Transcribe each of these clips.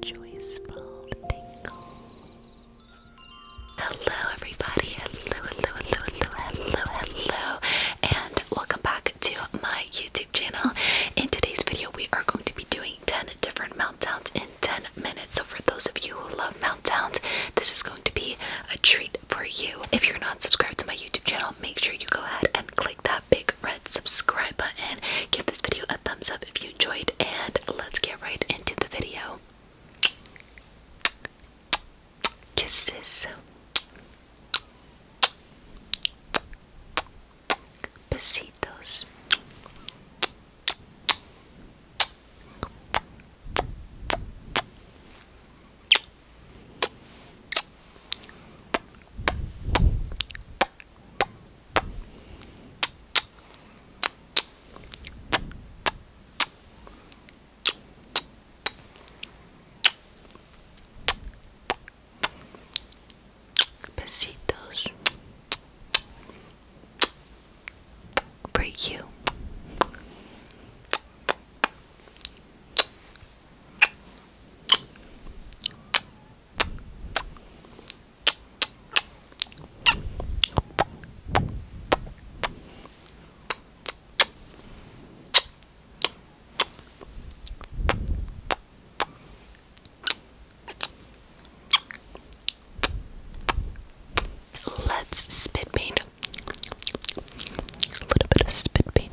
Joyful tingles. Hello, everybody. hello, hello, hello, hello, hello, and welcome back to my YouTube channel. In today's video, we are going to be doing 10 different mount downs in 10 minutes. So, for those of you who love mount downs, this is going to be a treat for you. If you're not subscribed to my YouTube channel, make sure you go ahead and click that big red subscribe button. Give this video a thumbs up if you enjoyed, and let's get right into the video. Kisses. Besitos. Besitos for you. Let's spit paint. A little bit of spit paint.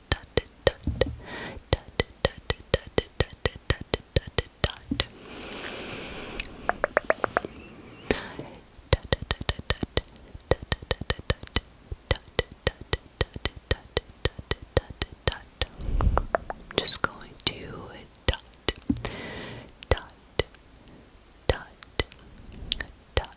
dot dot just going to dot dot dot dot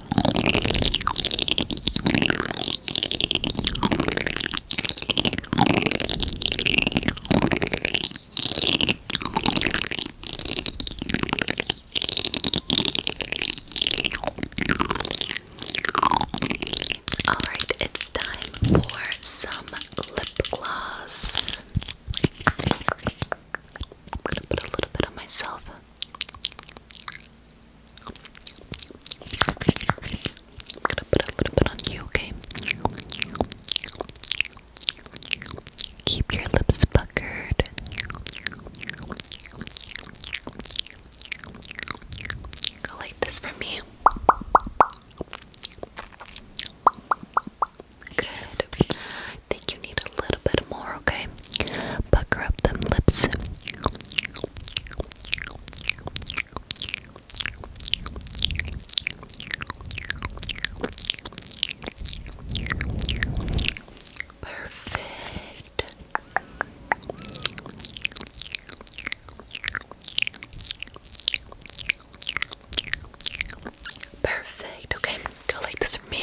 Alright, it's time for some lip gloss. I'm gonna put a little bit on myself gonna put a little bit on you, okay? Keep your lips puckered. Go like this for me. Good. I think you need a little bit more, okay? Pucker up them lips. Perfect. Perfect. Okay, go like this for me.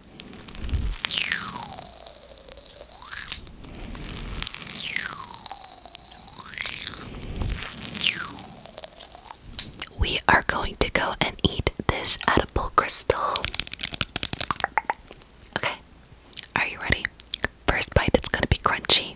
We are going to go and eat this edible crystal. Okay, are you ready? First bite, it's gonna be crunchy.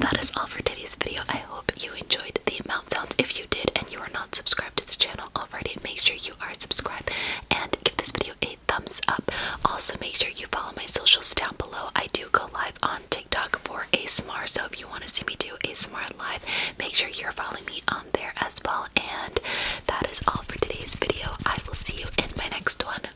That is all for today's video. I hope you enjoyed the mouth sounds. If you did and you are not subscribed to this channel already, make sure you are subscribed and give this video a thumbs up. Also, make sure you follow my socials down below. I do go live on TikTok for ASMR, so if you want to see me do ASMR live, make sure you're following me on there as well. And that is all for today's video. I will see you in my next one.